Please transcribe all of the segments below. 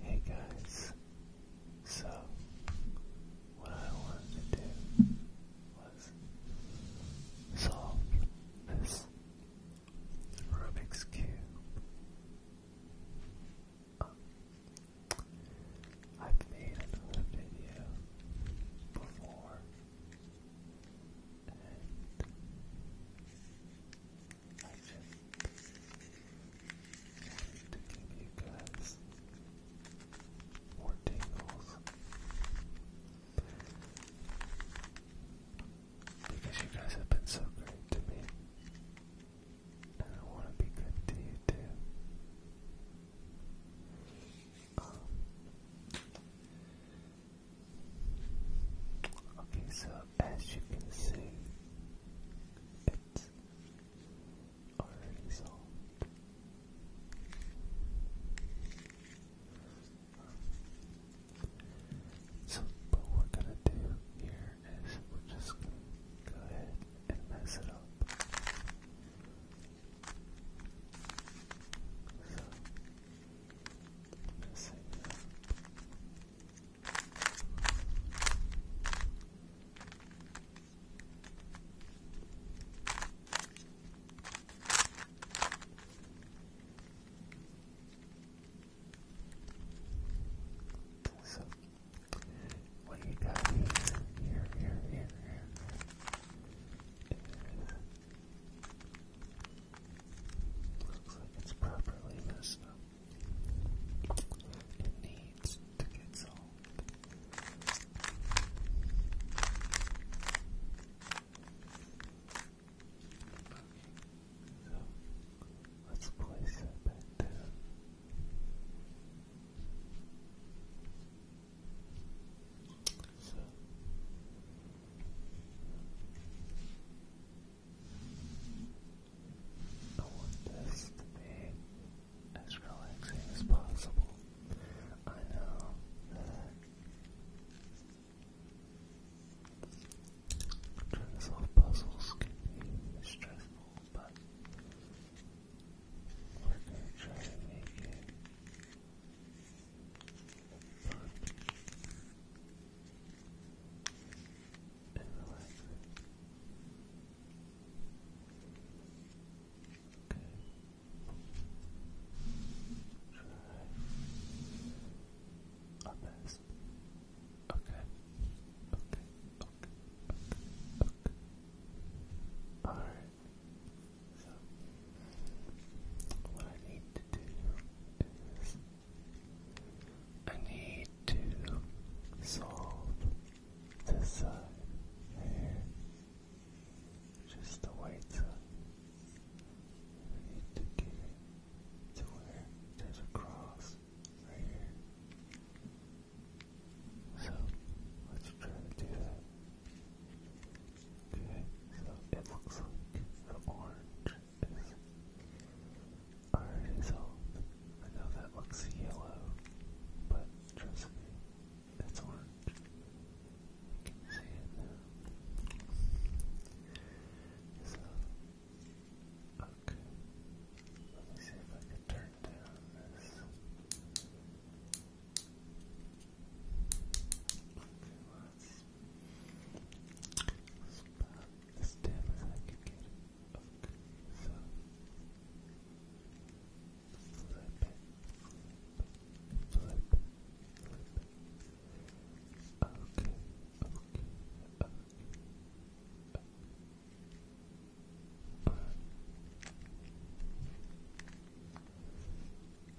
Hey guys, so what I wanted to do was solve this Rubik's Cube. Um, I've made another video before, I just to give you guys more tingles because you guys have been so great to me, and I want to be good to you too. Okay, so as you can see, it's already solved. So, what we're gonna do here is we're just gonna go ahead and mess it up. So, messing it up. So, what do you got here? Here, here, here, here. Is Looks like it's properly messed up. It needs to get solved. so let's place that back down. So, I want this to be as relaxing as possible. I know that trying to solve puzzles can be stressful, but we're going to try to and relax. Okay. Try best. Okay. Okay. Okay. Okay. All right. So what I need to do is I need to solve this uh, just the white side. need to get to where there's a cross right here. So let's try to do that. Okay, so it looks like the orange our result. I know that looks yellow, but trust me, it's orange. You can see it now. So, okay. Let me see if I can turn down this. Okay, well, about as dim as I can get okay.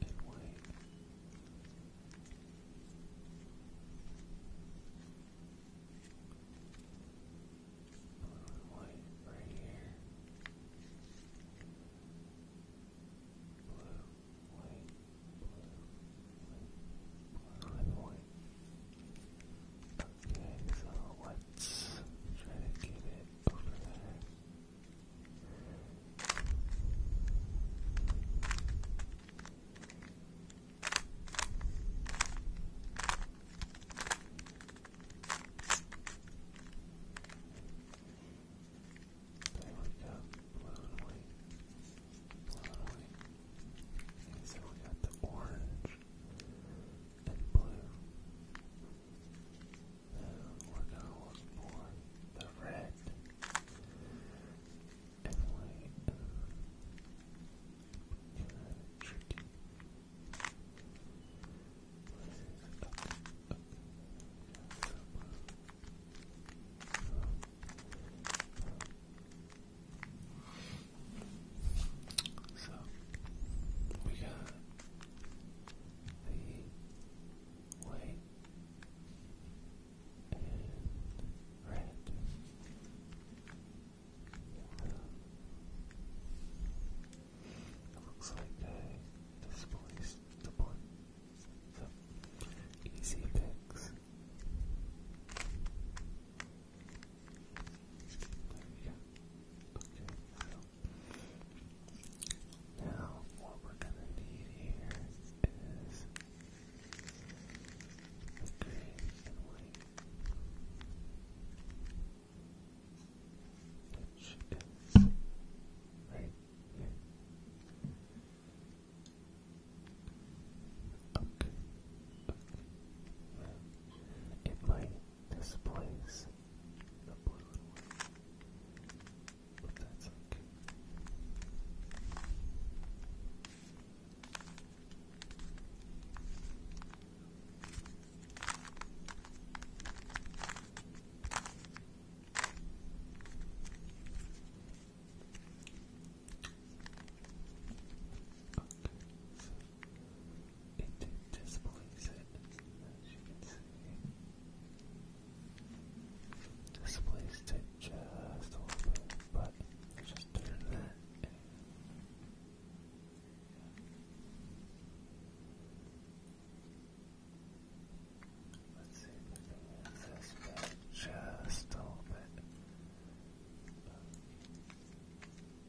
and wait. Blue white right here. Blue, white, blue, white, blue white. Okay, so let's try to get it we got blue blue so we got the orange and blue we're going to look for the red and white. So we got the white and red. It looks like I displaced the board. So, easy picks. There we go. Okay, so now, what we're gonna need here is green and white, which Okay. okay. It might is the blue and white. But that's okay. Okay, so it displays it, as you can see. Displaced it just a little bit, but just turn that Let's see if we can move this just a little bit.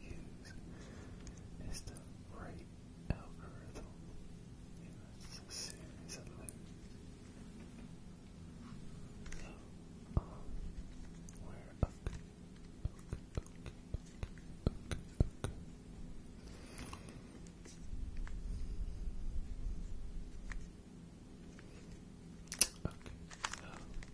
use is the algorithm. And that's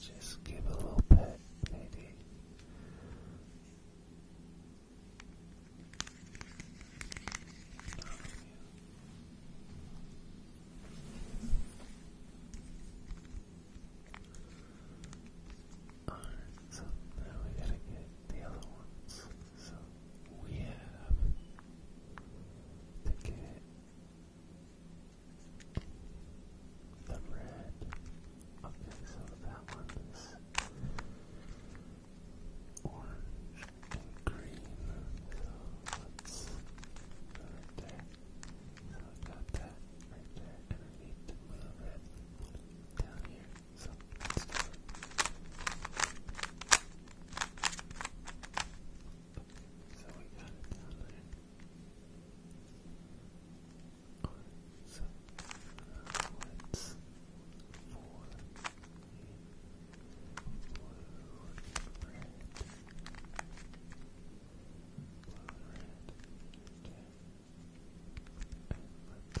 Just give a little pet, lady. Alright, so now we gotta get the other ones. So we have to get the red. Okay, so that one orange and green. So let's go that right there, and I need to move red down here. So let's do it. So we got it down there. So uh, let's four blue red. Blue red. Okay. And let's down. There we go.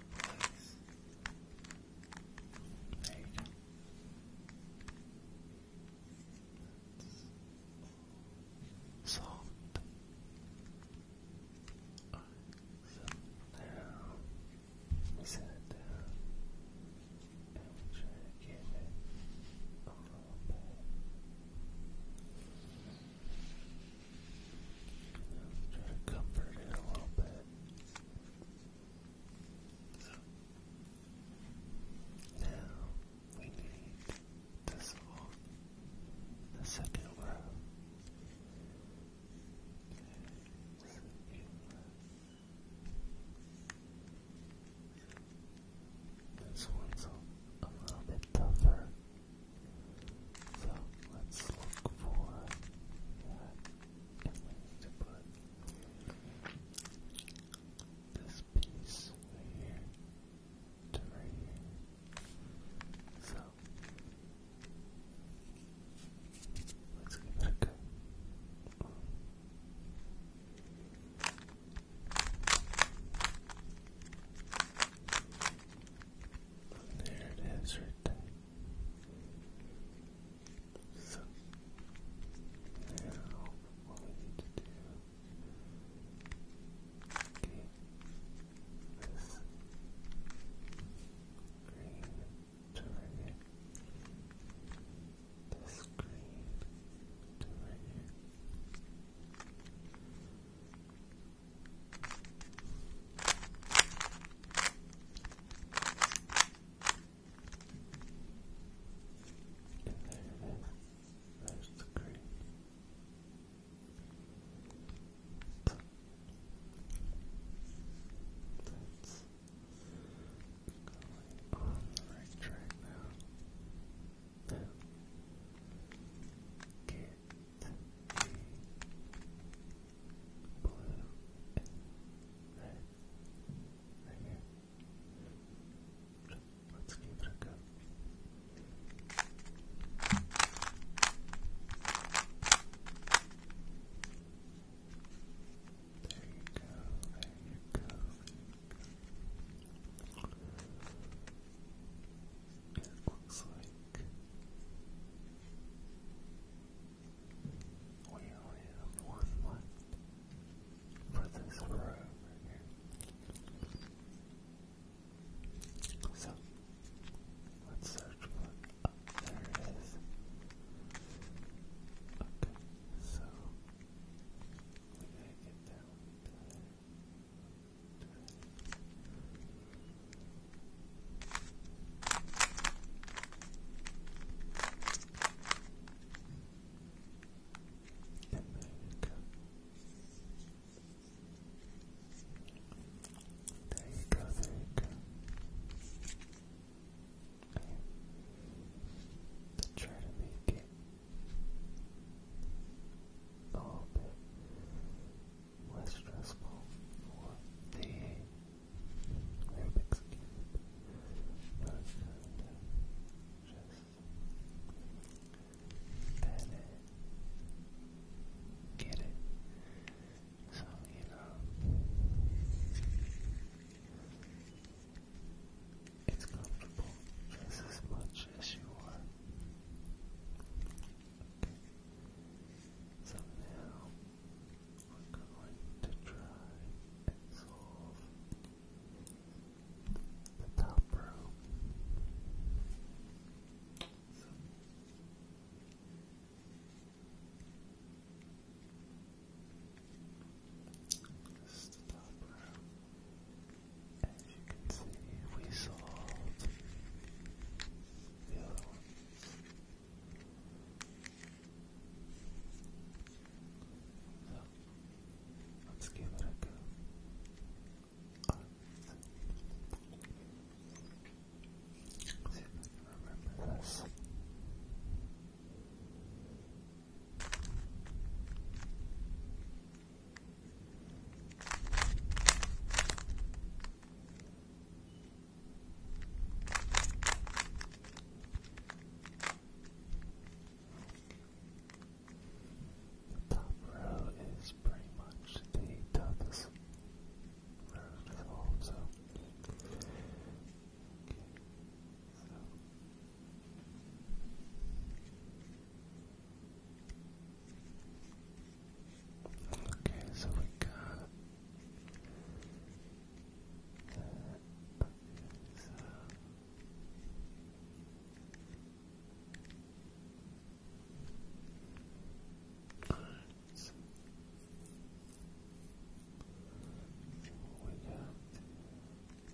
There you soft. All right, so now set it down and we try to give it a Try to comfort it a little bit. Now we need this one, the second row. this one's a little bit tougher. So let's look for that to put this piece right here So let's give it a go. There it is right there. So now what we need to do okay this green to This green to and there it is. There's the green. That's going on the right track now blue, red let's give it a you go, there you go, there you go it looks like we only have one left for this row here. So let's search one up. there it is. Okay, so we gotta down there you go, there you go. Okay. To try to make it a little bit less stressful the Rubik's Cube. just pen get it. So, you know, it's comfortable just as much as you are so now we're going to try and solve the top row. So the top row. As you can see, we solved So, let's give it a go. See if I remember this. Top row is pretty much the toughest row to fall, So Okay, so we got So. All right. we got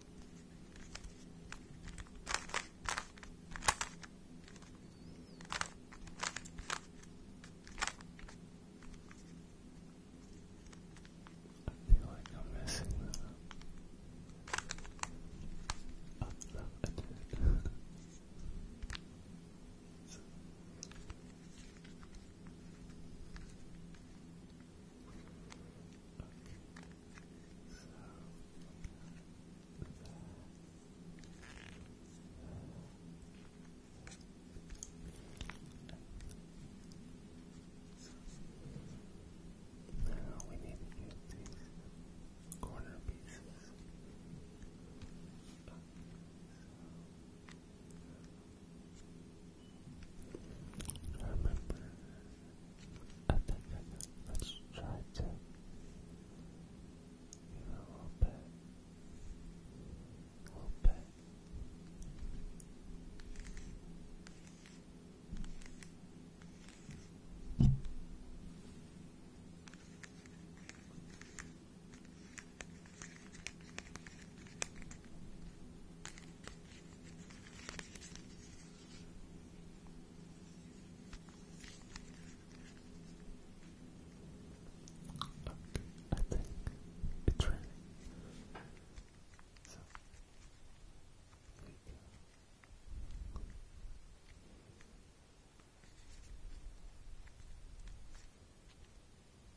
feel like I'm messing that up. Oh, I did. Now we need to get these corner pieces. So, I remember. I think Let's try to. You a little bit. A little bit. Okay, I think it's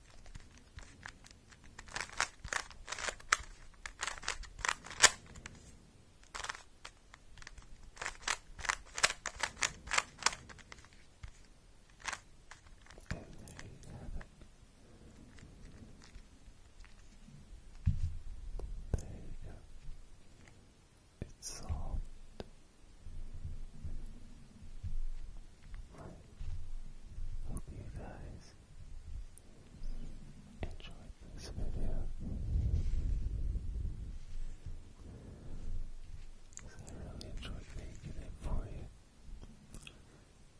And there you have it. There you go. It's soft Hope you guys enjoyed this video. I really enjoyed making it for you.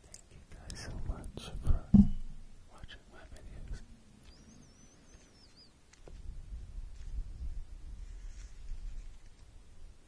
Thank you guys so much for watching my videos.